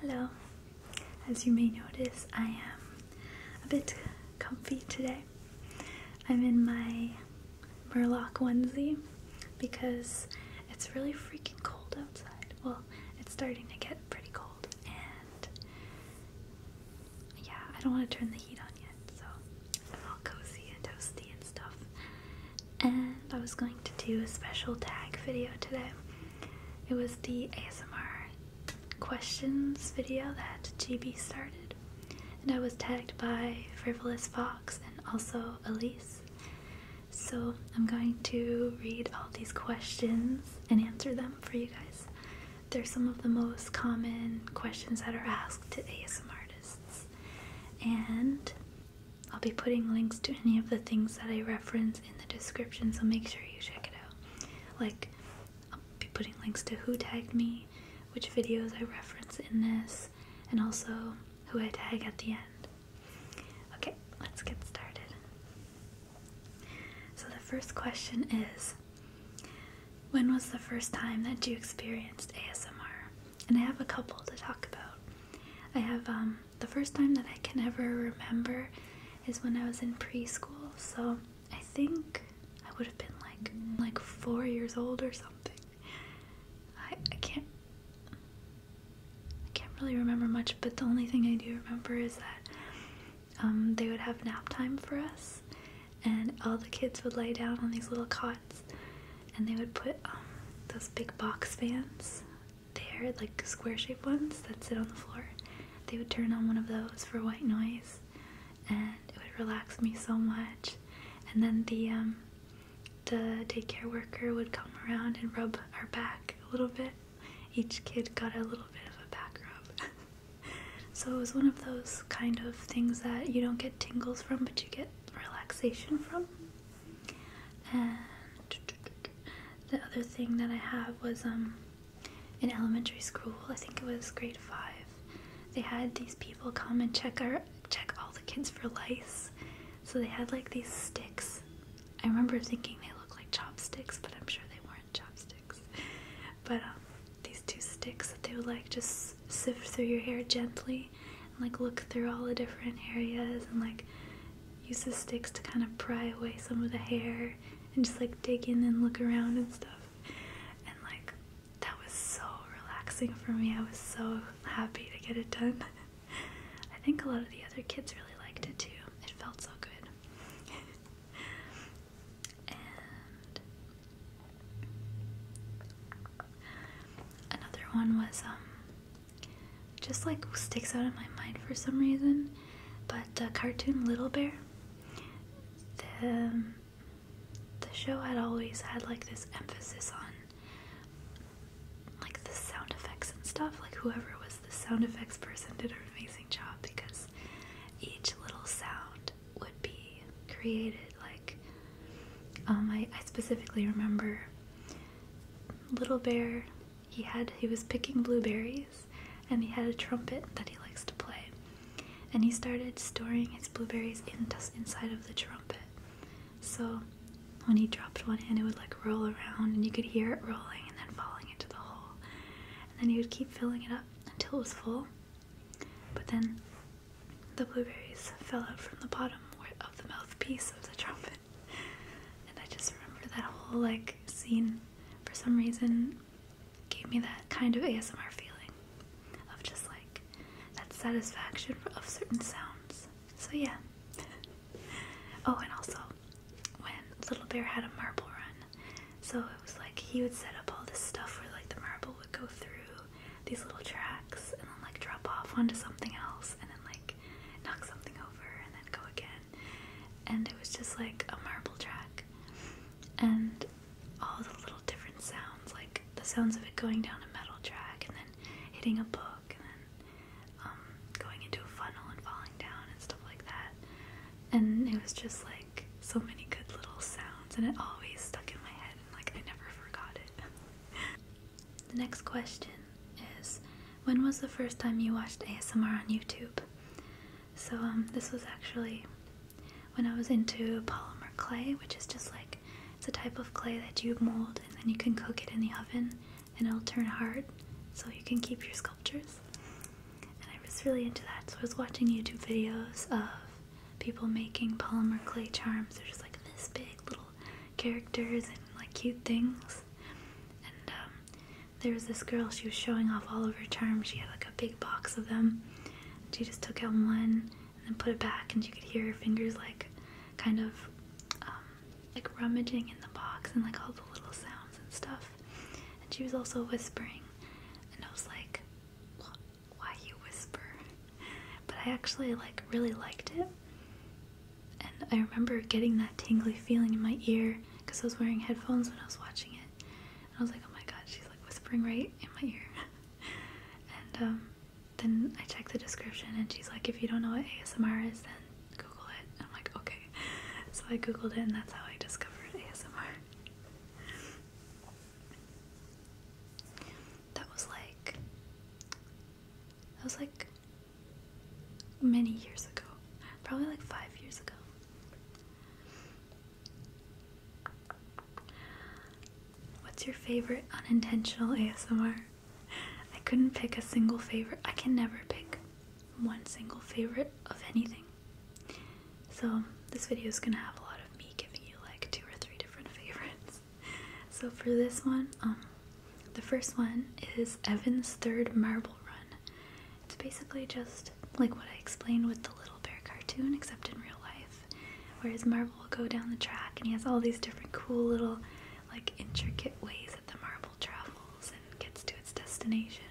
Hello, as you may notice, I am a bit comfy today. I'm in my Murloc onesie because it's really freaking cold outside. Well, it's starting to get pretty cold, and yeah, I don't want to turn the heat on yet, so I'm all cozy and toasty and stuff. And I was going to do a special tag video today. It was the ASMR questions video that GB started, and I was tagged by Frivolous Fox and also Elise. So I'm going to read all these questions and answer them for you guys. They're some of the most common questions that are asked to ASMR artists. And I'll be putting links to any of the things that I reference in the description, so make sure you check it out. Like, I'll be putting links to who tagged me, which videos I reference in this, and also who I tag at the end. Okay, let's get started. So, the first question is When was the first time that you experienced ASMR? And I have a couple to talk about. I have um, the first time that I can ever remember is when I was in preschool. So I think I would have been like like four years old or something. I I can't can't really remember much, but the only thing I do remember is that um, they would have nap time for us, and all the kids would lay down on these little cots, and they would put um, those big box fans they're like square shaped ones that sit on the floor. They would turn on one of those for white noise and it would relax me so much. And then the um, the daycare worker would come around and rub our back a little bit. Each kid got a little bit of a back rub. so it was one of those kind of things that you don't get tingles from but you get relaxation from. And the other thing that I have was um in elementary school, I think it was grade five, they had these people come and check our check all the kids for lice. So they had like these sticks. I remember thinking they looked like chopsticks, but I'm sure they weren't chopsticks. But um, these two sticks that they would like just sift through your hair gently and like look through all the different areas and like use the sticks to kind of pry away some of the hair and just like dig in and look around and stuff. And like that was so relaxing for me. I was so happy to get it done. I think a lot of the other kids really liked it too. It felt so good. another one was um just like sticks out of my mind for some reason. But cartoon Little Bear, the, um, the show had always had like this emphasis on like the sound effects and stuff. Like whoever was the sound effects person did an amazing job because each little sound would be created. Like um, I specifically remember Little Bear he had he was picking blueberries and he had a trumpet that he likes to play and he started storing his blueberries in, inside of the trumpet so when he dropped one in it would like roll around and you could hear it rolling and then falling into the hole and then he would keep filling it up until it was full but then the blueberries fell out from the bottom of the mouthpiece of the trumpet and I just remember that whole like scene for some reason gave me that kind of ASMR feeling of just like that satisfaction of certain sounds. So yeah. oh, and also when Little Bear had a marble run, so it was like he would set up all this stuff where like the marble would go through these little tracks and then like drop off onto something else and then like knock something over and then go again and it was just like a marble track and all the little different sounds like the sounds of it going down a metal track and then hitting a book and then um, going into a funnel and falling down and stuff like that and it was just like so many good little sounds and it always stuck in my head and like I never forgot it. the next question is when was the first time you watched ASMR on YouTube? So um, this was actually when I was into polymer clay, which is just like it's a type of clay that you mold and then you can cook it in the oven and it'll turn hard so you can keep your sculptures. And I was really into that, so I was watching YouTube videos of people making polymer clay charms. They're just like this big little characters and like cute things. And um, there was this girl, she was showing off all of her charms. She had like a big box of them. She just took out one and then put it back, and you could hear her fingers like kind of um, like rummaging in the box and like all the little sounds and stuff. And she was also whispering, and I was like, why you whisper? But I actually like really liked it and I remember getting that tingly feeling in my ear because I was wearing headphones when I was watching it. And I was like, oh my god, she's like whispering right in my ear. and um, then I checked the description and she's like, if you don't know what ASMR is, then Google it. I'm like, okay. So I Googled it and that's how I discovered ASMR. that was like, that was like many years ago. Probably like five years ago. What's your favorite unintentional ASMR? I couldn't pick a single favorite. I can never pick one single favorite of anything. So this video is gonna have a lot of me giving you like two or three different favorites. So for this one, um, the first one is Evan's Third Marble Run. It's basically just like what I explained with the Little Bear cartoon, except in real life, where his marble will go down the track and he has all these different cool little, like, intricate ways that the marble travels and gets to its destination.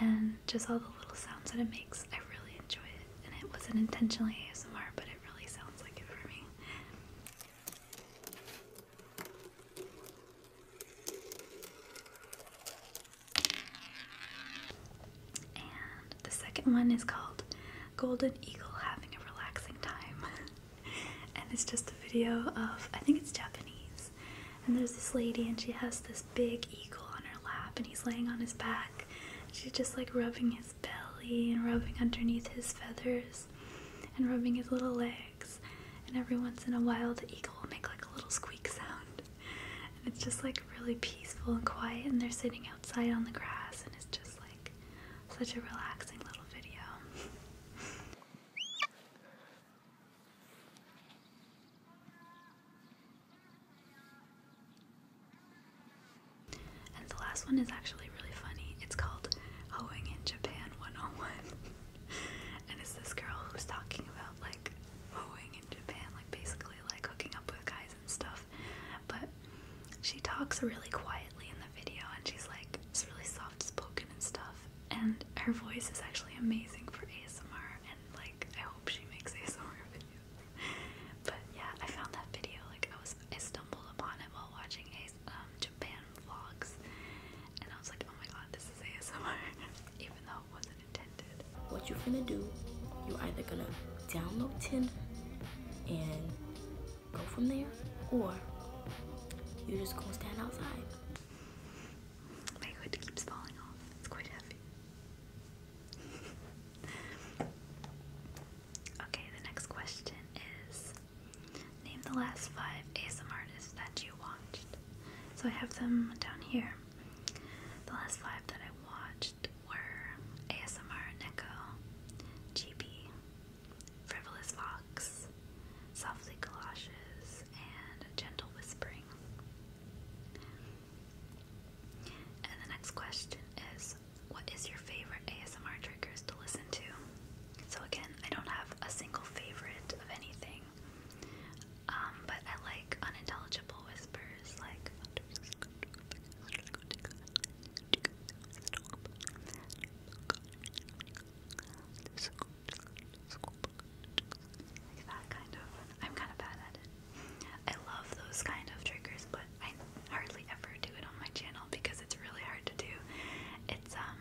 And just all the little sounds that it makes, I really enjoy it. And it wasn't intentionally ASMR, but it really sounds like it for me. And the second one is called Golden Eagle Having a Relaxing Time. and it's just a video of, I think it's Japanese. And there's this lady, and she has this big eagle on her lap, and he's laying on his back. She's just like rubbing his belly and rubbing underneath his feathers and rubbing his little leg and every once in a while the eagle will make like a little squeak sound. And it's just like really peaceful and quiet, and they're sitting outside on the grass, and it's just like such a relaxing little video. And the last one is actually really funny. It's called Hoeing in Japan 101 and it's this girl who's talking about like mowing in Japan, like basically like hooking up with guys and stuff. But she talks really quietly in the video, and she's like it's really soft spoken and stuff. And her voice is actually amazing for ASMR, and like I hope she makes ASMR videos. but yeah, I found that video like I was I stumbled upon it while watching a um, Japan Oh what you're gonna do, you're either gonna download Tinder and go from there, or you're just gonna stand outside. My hood keeps falling off, it's quite heavy. okay, the next question is Name the last five ASM artists that you watched. So I have them down here. The last five that I watched were ASMR Nico, GB, Frivolous Fox, Softly Galoshes, and Gentle Whispering. And the next question is what is your favorite ASMR triggers to listen to? So, again, I don't have a single favorite of anything. Um, but I like unintelligible whispers, like that kind of. I'm kind of bad I love those kind of triggers, but I hardly ever do it on my channel because it's really hard to do. It's um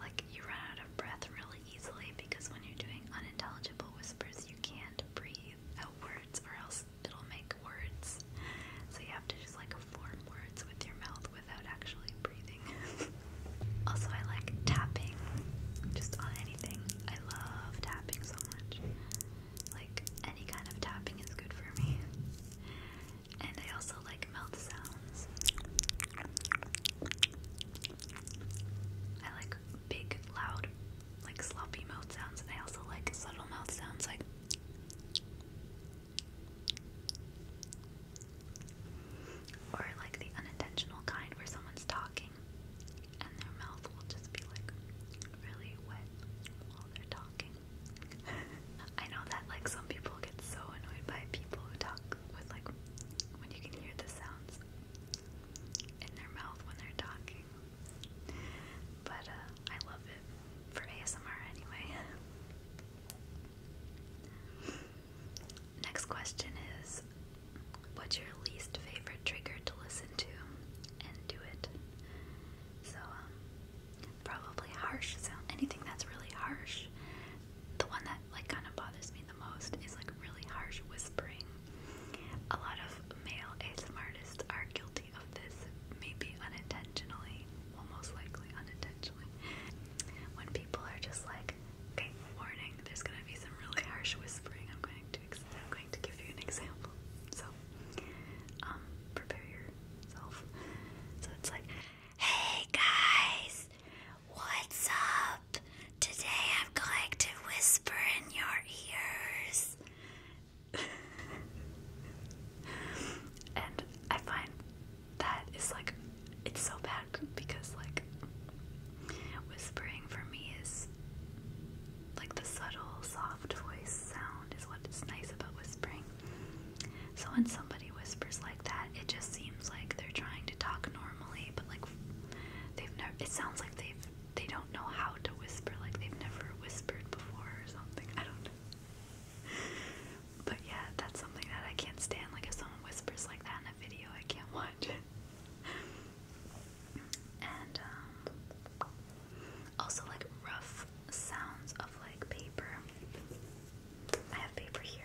like, you run out of breath really easily because when you're doing unintelligible whispers, you can't breathe out words or else it'll make words. So you have to just like form words with your mouth without actually breathing. also, I like tapping just on anything. I love tapping so much. Like, any kind of tapping is good for me. And I also like mouth sounds. I like big, loud, like sloppy mouth sounds, and I also like subtle mouth sounds, like. Or like the unintentional kind where someone's talking and their mouth will just be like really wet while they're talking. I know that like some people get so annoyed by people who talk with like when you can hear the sounds in their mouth when they're talking. But uh, I love it for ASMR anyway. Next question is what's your least favorite trigger to listen to and do it? So um, probably harsh sound anything that's really harsh the one that like kind of bothers me the most is like really harsh whispering. A lot of male ASMR artists are guilty of this, maybe unintentionally, well likely unintentionally. When people are just like, okay, warning, there's gonna be some really harsh whispering. I'm going to give you an example. So, um, prepare yourself. So it's like, hey guys, What's up? Today I'm going to whisper in your ears. and I find that is like, it's so bad because, like, whispering for me is like the subtle, soft voice sound is what is nice about whispering. So when somebody whispers that. It just seems like they're trying to talk normally, but like they've never. It sounds like they've they don't know how to whisper. Like they've never whispered before or something. I don't know. But yeah, that's something that I can't stand. Like if someone whispers like that in a video, I can't watch it. and um, also like rough sounds of like paper. I have paper here.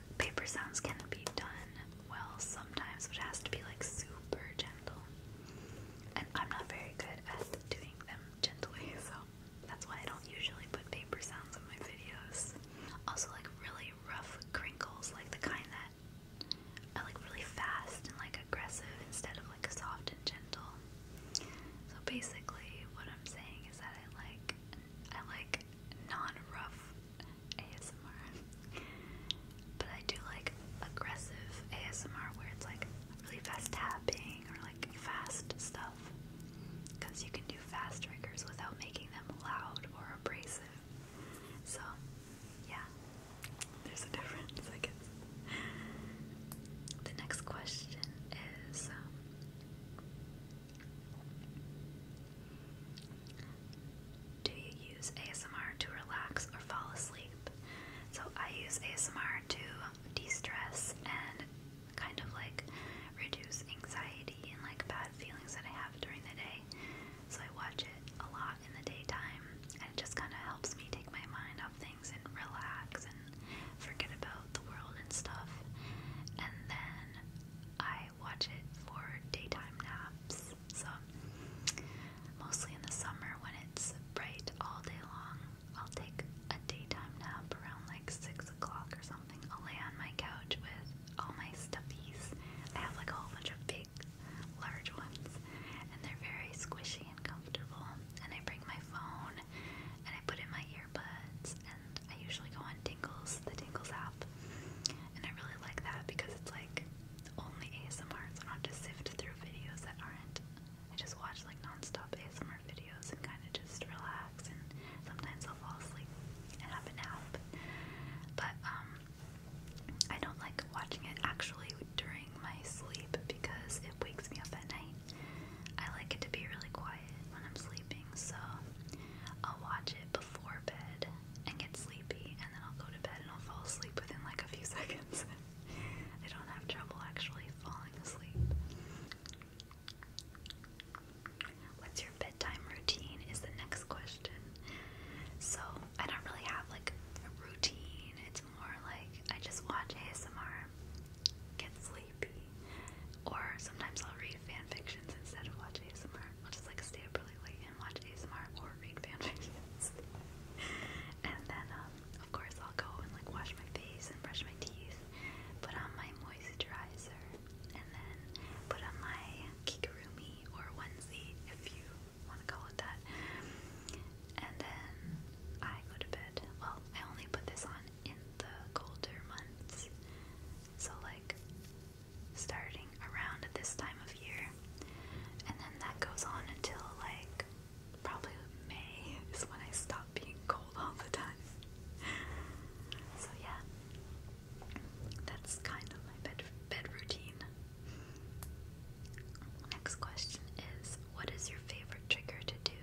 paper sounds can be done well sometimes, but it has to be like super gentle. And I'm not very good at doing them gently, so that's why I don't usually put paper sounds in my videos. Also, like really rough crinkles, like the kind that are like really fast and like aggressive instead of like soft and gentle. So basically, what I'm saying is that I like I like non-rough ASMR, but I do like aggressive ASMR where it's like really fast tapping or like fast stuff, because you can do fast triggers without making them loud or abrasive. So, yeah, there's a difference, I guess. The next question is um, do you use ASMR to relax or fall asleep? So I use ASMR to de-stress and kind of like reduce anxiety and like bad feelings that I have during the day. So I watch it a lot in the daytime and it just kind of helps me take my mind off things and relax and forget about the world and stuff. And then I watch it for daytime naps. So, mostly in the summer when it's bright all day long, I'll take a daytime nap around like 6 o'clock or something. I'll lay on my couch with all my stuffies. I have like a whole bunch of big, large ones, and they're very squishy and comfortable. And I bring my phone and I put in my earbuds, and I usually go on Tingles, the Tingles app, and I really like that because it's like only ASMR, so I don't have to sift through videos that aren't. I just watch like nonstop ASMR videos and kind of just relax, and sometimes I'll fall asleep and have a nap. But um, I don't like watching it actually during my sleep because it wakes me up at night. I like it to be really quiet when I'm sleeping, so I'll watch it before bed and get sleepy, and then I'll go to bed and I'll fall asleep within like a few seconds. I don't have trouble actually falling asleep. What's your bedtime routine? Is the next question. So, I don't really have like a routine, it's more like I just watch ASMR, get sleepy, or sometimes I'll read read instead of watch ASMR. I'll just like stay up really late and watch ASMR or read fan and then, um, of course, I'll go and like wash my face and brush my teeth, put on my moisturizer, and then put on my kikurumi or onesie, if you want to call it that. And then I go to bed. Well, I only put this on in the colder months. So, like, starting around at this time of year. And then that goes on until like probably May is when I stop being cold all the time. so yeah. That's kind of my bed bed routine. Next question is what is your favorite trigger to do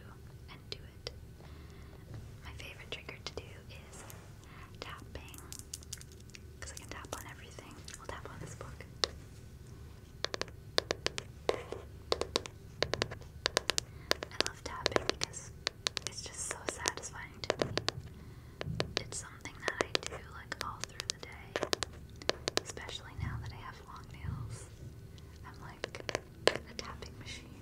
and do it? My favorite trigger to do is tapping because I can tap on everything. I'll tap on this book. I love tapping because it's just so satisfying to It's something that I do like all through the day. Especially now that I have long nails. I'm like a tapping machine.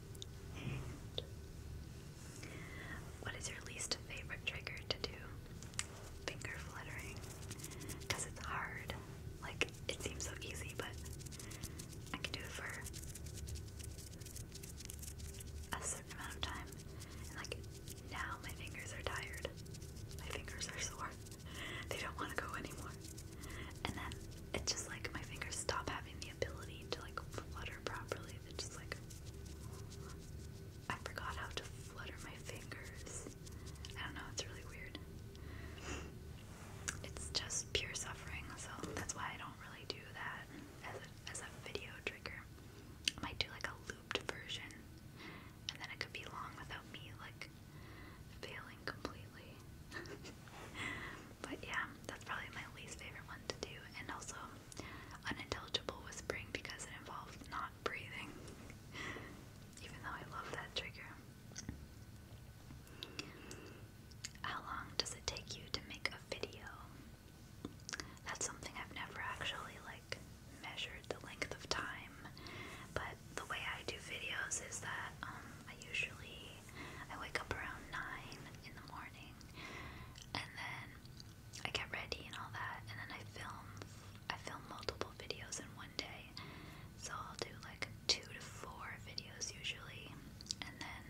what is your least favorite trigger to do? Finger fluttering. Because it's hard. Like, it seems so easy, but I can do it for a certain amount of time. And, like, now my fingers are tired. My fingers are sore. They don't want to go anymore. And then it's just like my fingers stop having ability to like flutter properly. they just like I forgot how to flutter my fingers. I don't know, it's really weird. It's just pure suffering, so that's why I don't really do that as a, as a video trigger. I might do like a looped version, and then it could be long without me like failing completely. But yeah, that's probably my least favorite one to do. And also, unintelligible whispering because it involves not breathing, even though I love that trigger. How long does it take you to make a video? That's something I've never actually like measured the length of time, but the way I do videos is that um, I usually I wake up around 9 in the morning and then I get ready and all that and then I film I film multiple videos in one day. So I'll do like 2 to 4 videos usually and then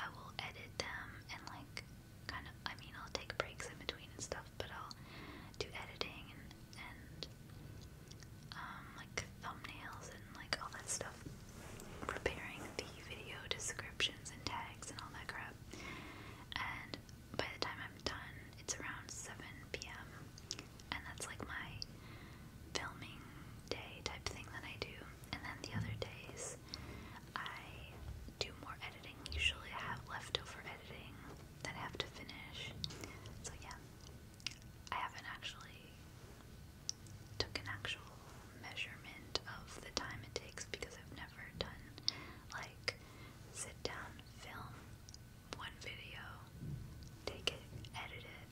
I will edit them and like kind of I mean I'll take breaks in between and stuff but I'll do editing and and um, like thumbnails like all that stuff. Preparing the video descriptions and tags and all that crap. And by the time I'm done, it's around 7 p.m. And that's like my filming day type thing that I do. And then the other days, I do more editing. Usually I have leftover editing that I have to finish. So yeah, I haven't actually took an actual measurement of the time it takes because I've never done like sit down, film one video, take it, edit it,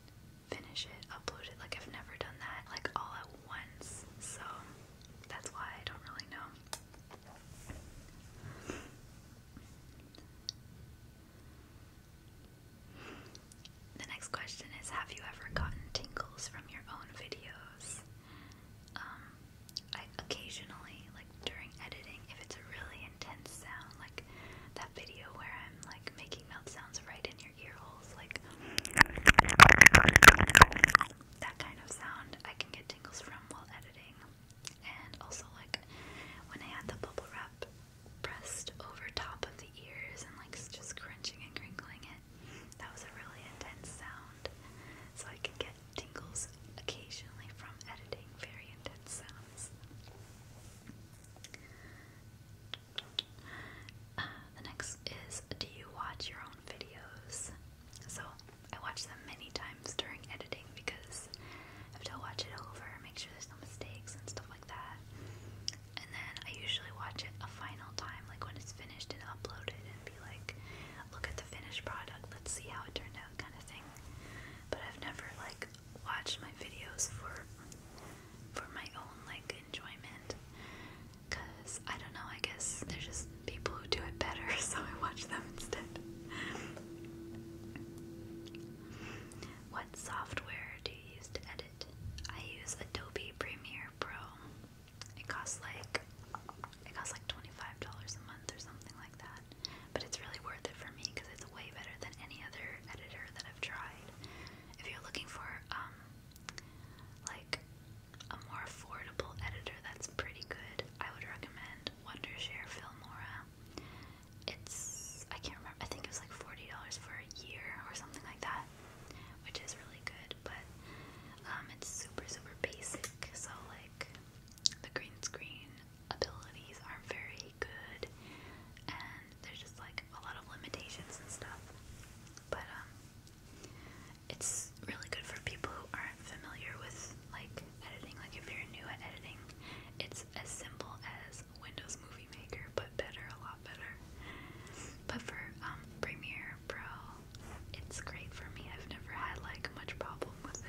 finish it, upload it. Like I've never done that like all at once. So that's why I don't really know. The next question is Have you ever gotten tingles from your own videos? Um, occasionally, like during editing, if it's a really intense sound, like that video where I'm like making mouth sounds right in your ear holes, like that kind of sound, I can get tingles from while editing. And also, like when I had the bubble wrap pressed over top of the ears and like just crunching and crinkling that was a really intense sound, so I can get tingles occasionally from editing very intense sounds. Uh, the next is Do you watch your own videos? So I watch them many times during editing because I have to watch it over, make sure there's no mistakes and stuff like that and then I usually watch it a final time, like when it's finished and uploaded, and be like, look at the finished product, let's see how it turned out, kind of thing. But I've never like watched my videos for for my own like enjoyment, cause I don't know. I guess there's just people who do it better, so I watch them instead. what software do you use to edit? I use Adobe Premiere Pro. It costs like it costs like twenty five dollars a month or something like that. But it's really worth it for me because it's way better than any other editor that I've tried. If you're looking for um like a more affordable editor that's pretty good, I would recommend Wondershare Filmora. It's I can't remember. I think it was like forty dollars for a year or something like that, which is really good but um, it's super, super basic. So, like, the green screen abilities are very good, and there's just like a lot of limitations and stuff. But, um, it's really good for people who aren't familiar with like editing. Like, if you're new at editing, it's as simple as Windows Movie Maker, but better a lot but for um, Premiere Pro, it's great for me. I've never had like much problem with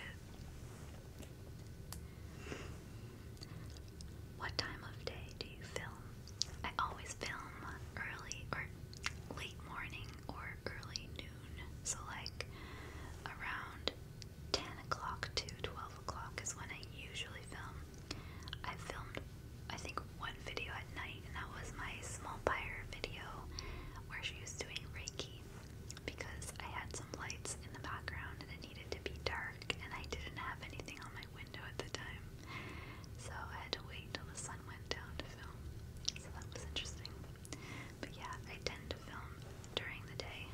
it. What time of day do you film? I always film early or late morning or early noon. So like around 10 o'clock to 12 o'clock is when I usually film. I filmed, I think, one video at night, and that was my small pyre video where she was doing Reiki because I had some lights in the background and it needed to be dark, and I didn't have anything on my window at the time, so I had to wait till the sun went down to film. So that was interesting. But yeah, I tend to film during the day.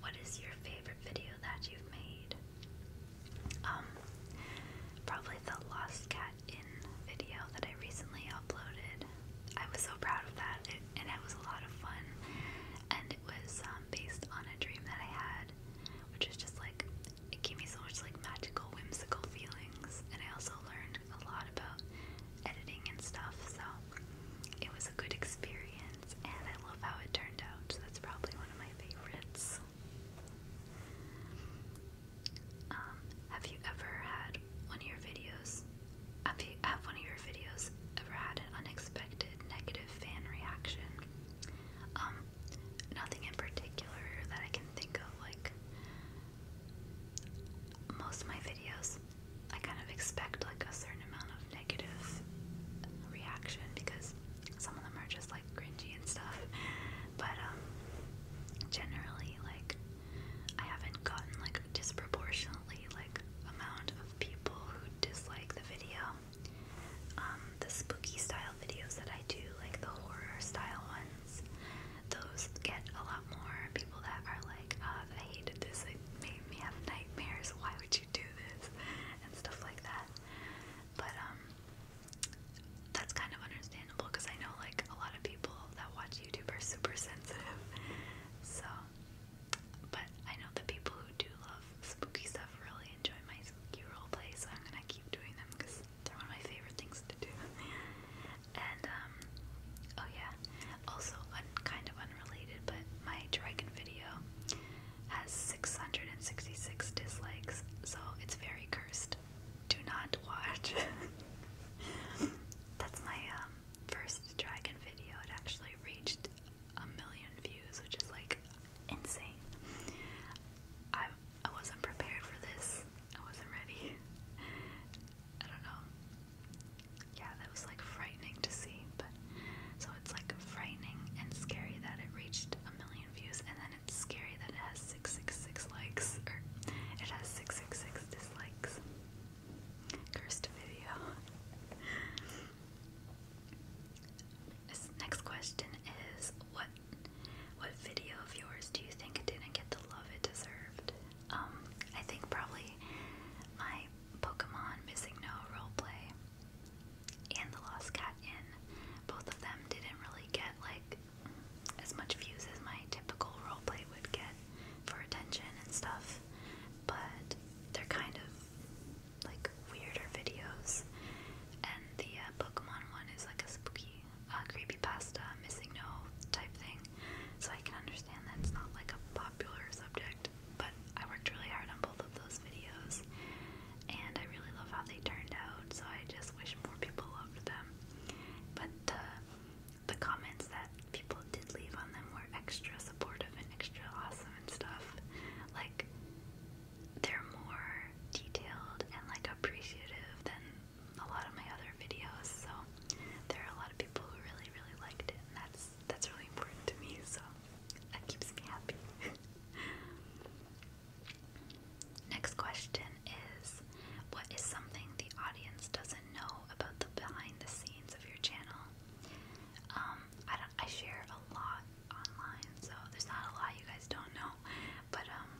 What is your favorite video that you've made? Um, probably the Lost Cat In video that I recently uploaded. I was so proud of that, it, and it was a lot of fun. And it was um, based on a dream that I had, which was just like it gave me so much like magical, whimsical feelings. And I also learned a lot about editing and stuff, so it was a good experience and I love how it turned out. that's probably one of my favorites. Um, have you ever had one of your videos? Have you have one of your videos ever had an unexpected negative fan reaction? Um, nothing in particular that I can think of. Like most of my videos, I kind of expect like a certain amount of negative reaction because some of them are just like cringy and stuff, but um, generally, like, I haven't gotten like disproportionately like amount of people who dislike the video. Um, the spooky style videos that I do, like the horror style ones, those get a lot more people that are like, uh, I hated this, it made me have nightmares, why would you you do this and stuff like that. But um that's kind of understandable because I know like a lot of people that watch YouTube are super sensitive. So but I know the people who do love spooky stuff really enjoy my spooky roleplay, so I'm gonna keep doing them because they're one of my favorite things to do. and um oh yeah. Also un kind of unrelated, but my dragon video has 666 dislikes, so it's very cursed. Do not watch. That's my um, first dragon video. It actually reached a million views, which is like insane. I wasn't prepared for this. I wasn't ready. I don't know. Yeah, that was like frightening to see, but so it's like frightening and scary that it reached a million views, and then it's scary that it has 666 likes, or it has 666 dislikes. Cursed video. next question is what what video of yours do you think didn't get the love it deserved? Um, I think probably my Pokemon Missing No role play and The Lost Cat in both of them didn't really get like as much views as my typical roleplay would get for attention and stuff, but they're kind of like weirder videos. And the uh, Pokemon one is like a spooky, uh, creepy pasta missing no type thing, so I can understand that it's not like a popular subject. But I worked really hard on both of those videos, and I really love how they turned out, so I just wish more people loved them. But uh, the comments that people did leave on them were extra supportive and extra awesome and stuff. Like, they're more detailed and like appreciative than a lot of my other videos, so there are a lot of people who really, really liked it, and that's that's really important to me, so Next question is What is something the audience doesn't know about the behind the scenes of your channel? Um, I, share a lot online, so there's not a lot you guys don't know, but um,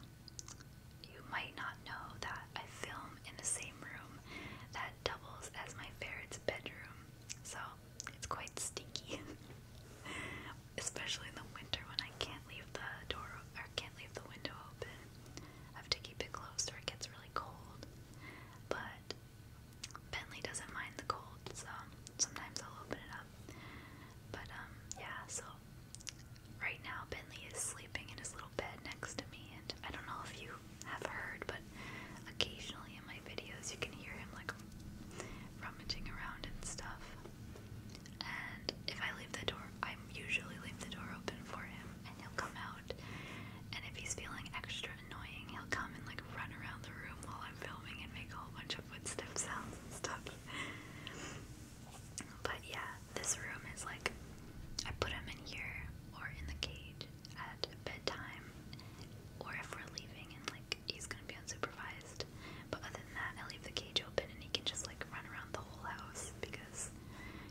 you might not know that I film in the same room that doubles as my ferret's bedroom. So it's quite stinky, especially in the winter when I can't leave the door or can't leave the window open. I have to keep it closed or it gets really cold. But Bentley doesn't mind the cold, so sometimes I'll open it up. But um, yeah. So right now Bentley is sleeping in his little bed next to me, and I don't know if you have heard, but occasionally in my videos you can hear him like rummaging around and stuff. And if I leave the door, I usually leave the door open for him and he'll come out. And if he's feeling extra annoying, he'll come and like run around the room while I'm filming and make a whole bunch of footstep sounds and stuff. But yeah, this room is like I put him in here or in the cage at bedtime or if we're leaving and he's gonna be unsupervised. But other than that, I leave the cage open and he can just like run around the whole house because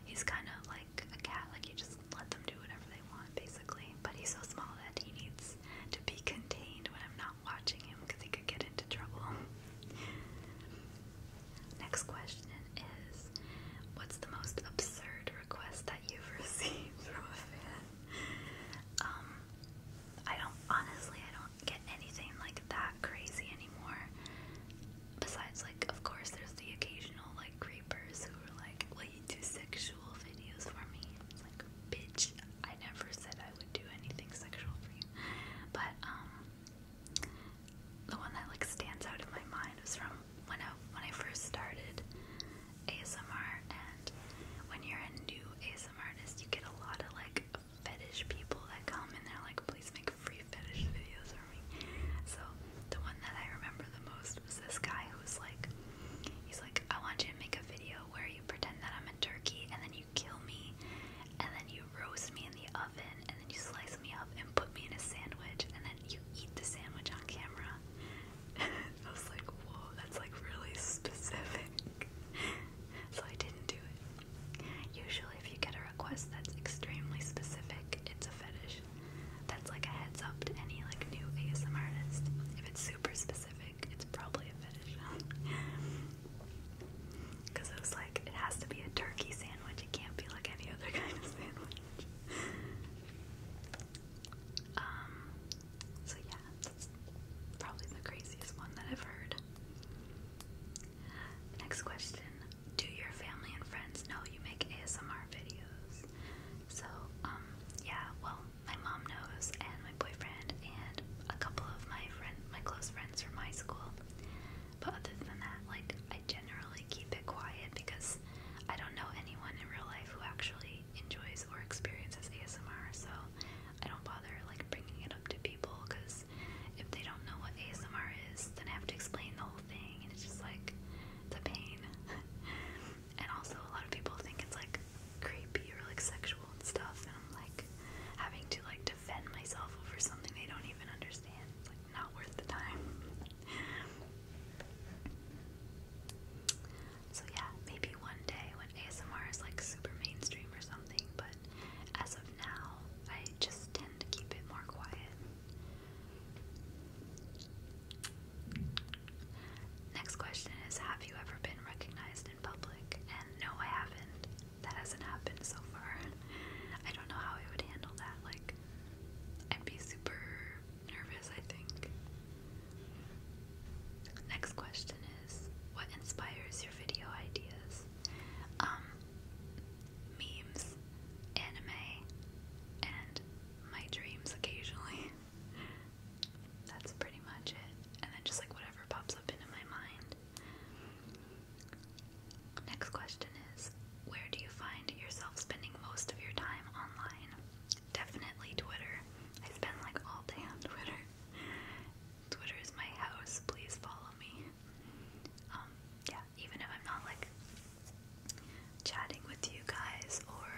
he's kind of like a cat. Like you just let them do whatever they want, basically. But he's so small that he needs to be contained when I'm not watching him because he could get into trouble. Next question is, what's the most absurd request that you've received from a fan? Um, I don't honestly I don't get anything like that crazy anymore. Besides like of course there's the occasional like creepers who are like, Will you do sexual videos for me? like bitch, I never said I would do anything sexual for you. But um the one that like stands out in my mind is from when I when I first started ASMR and when you're a new ASMR ASM artist, you get a lot of like fetish people that come and they like, please make free fetish videos for me. So the one that I remember the most was this guy who was like, he's like, I want you to make a video where you pretend that I'm a turkey and then you kill me and then you roast me in the oven and then you slice me up and put me in a sandwich and then you eat the sandwich on camera. I was like, whoa, that's like really specific. so I didn't do it. Usually, if you get a request that's extremely specific, it's a fetish. That's like a heads up to any like new ASM artist. If it's super specific, it's probably a fetish. Because it was like it has to be a turkey sandwich. It can't be like any other kind of sandwich. Um. So yeah, yeah, that's probably the craziest one that I've heard. Next question Do your family and friends know you make ASMR videos? So, um, yeah, well, my mom knows, and my boyfriend, and a couple of my friend, my close friends from high school. But other than that, like, I generally keep it quiet because I don't know anyone in real life who actually enjoys or experiences ASMR, so I don't bother like bringing it up to people because if they don't know what ASMR is, then I have to explain the whole thing, and it's just like the pain. and also, a lot of people think it's like creepy or like sexual and stuff, and I'm like having to like defend myself over something they don't even understand. It's like not worth the time. So yeah, maybe one day when ASMR is like super mainstream or something, but as of now, I just tend to keep it more quiet. Next question is Have you ever been recognized in public? And no, I haven't. That hasn't happened so far. I don't know how I would handle that. Like, I'd be super nervous, I think. Next question is what inspires your video ideas? Um, memes, anime, and my dreams occasionally. That's pretty much it. And then just like whatever pops up into my mind. Next question is where do you find yourself spending most of your time online? Definitely Twitter. I spend like all day on Twitter. Twitter is my house. Please follow me. Um, yeah, even if I'm not like chatting with you guys or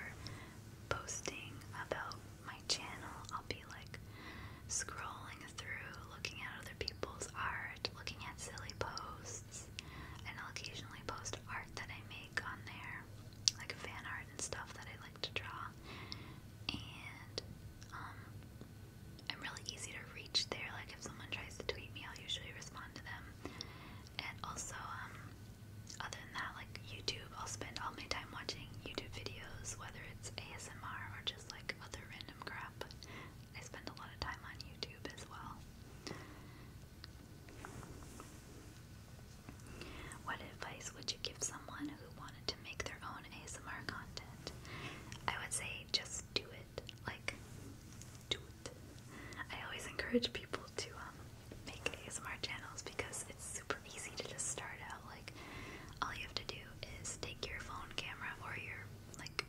posting about my channel, I'll be like scrolling through, looking at other people's art, looking at silly posts, and I'll occasionally post art that I make on there, like fan art and stuff that I like to draw and um, I'm really easy to reach there. Like if someone tries to tweet me, I'll usually respond to them. And also, um, other than that, like YouTube, I'll spend all my time watching YouTube videos, whether it's ASMR or just like other random crap. I spend a lot of time on YouTube as well. What advice would you give someone who wanted to make their own ASMR content, I would say just do it. Like, do it. I always encourage people to um, make ASMR channels because it's super easy to just start out. Like, all you have to do is take your phone camera or your like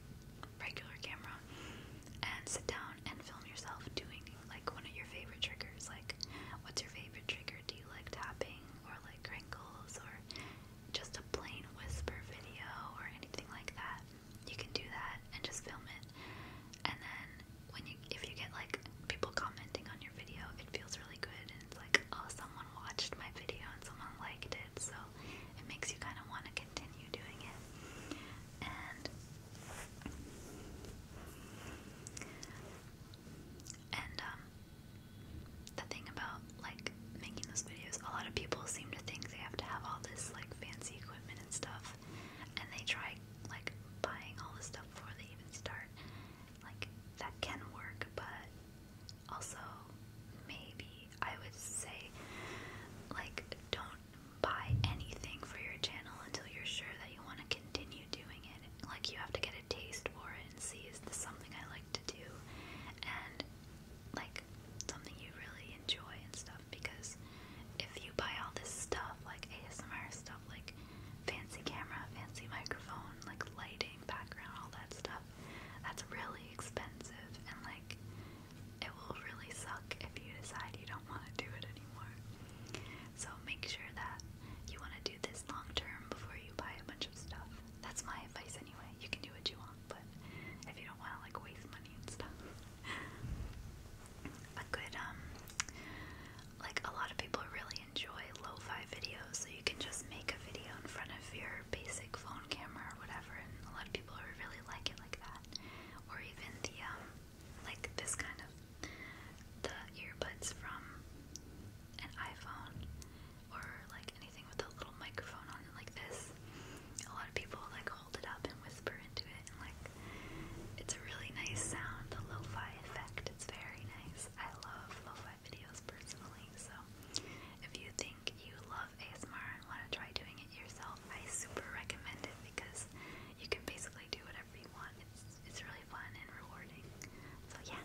regular camera and sit down and film yourself doing like one of your favorite triggers. Like, what's your favorite trigger? Do you like tapping? or like crinkles or just a plain whisper video or anything like that, you can do that and just film it. And then when you, if you get like people commenting on your video, it feels really good and it's like, oh, someone watched my video and someone liked it, so it makes you kind of want to continue doing it. And and um, the thing about like making those videos, a lot of people seem to think they have to have all this like fancy equipment and stuff, and they try like buying all this stuff before they even start. Like that can work, but also maybe I would say like don't buy anything for your channel until you're sure that you want to continue doing it. Like you have to get a taste for it and see is this something I like to do and like something you really enjoy and stuff because if you buy all this stuff like ASMR stuff like fancy camera, fancy microphone, like lighting, background, all that stuff, that's really expensive and like it will really suck if you decide you don't want to do it anymore. So make sure that you want to do this long term before you buy a bunch of stuff. That's my advice anyway. You can do what you want, but if you don't want to like waste money and stuff. a good um like a lot of people really enjoy lo-fi videos, so you can just make a video in front of your basic phone camera or whatever and a lot of people really like it like that. Or even the um like this kind of the earbuds from an iPhone or like anything with a little microphone on it like this. A lot of people like hold it up and whisper into it, and like it's a really nice sound, the lo-fi effect. It's very nice. I love lo-fi videos personally, so if you think you love ASMR and want to try doing it yourself, I super recommend it because you can basically do whatever you want. It's it's really fun and rewarding. So yeah,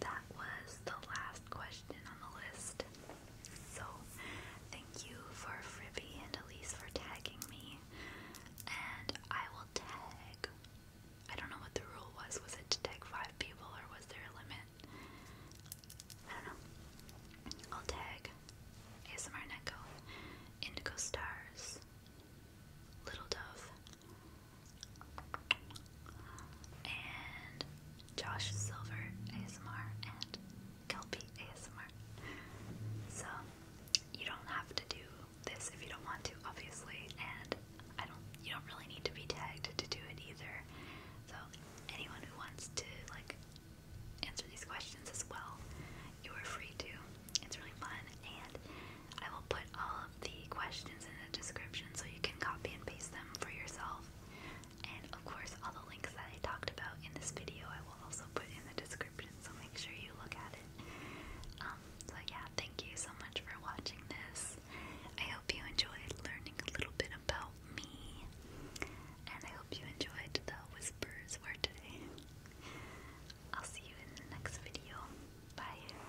that was the last question on the list. So, thank you for Frivy and Elise for tagging me. And I will tag. I don't know what the rule was. Was it to tag five people or was there a limit? I don't know. I'll tag ASMR Neko, Indigo Stars, Little Dove, and Josh Silver ASMR and Kelpy ASMR. So you don't have to do this if you don't want to, obviously, and I don't you don't really need to be tagged to do it either. So anyone who wants to like answer these questions as well, you are free to. It's really fun and I will put all of the questions in the description so you can copy and paste them for yourself. And of course, all the links that I talked about in this video I will also put in the description, so make sure you look at it. Um, so, yeah, thank you so much for watching this. I hope you enjoyed learning a little bit about me, and I hope you enjoyed the whispers for today. I'll see you in the next video. Bye.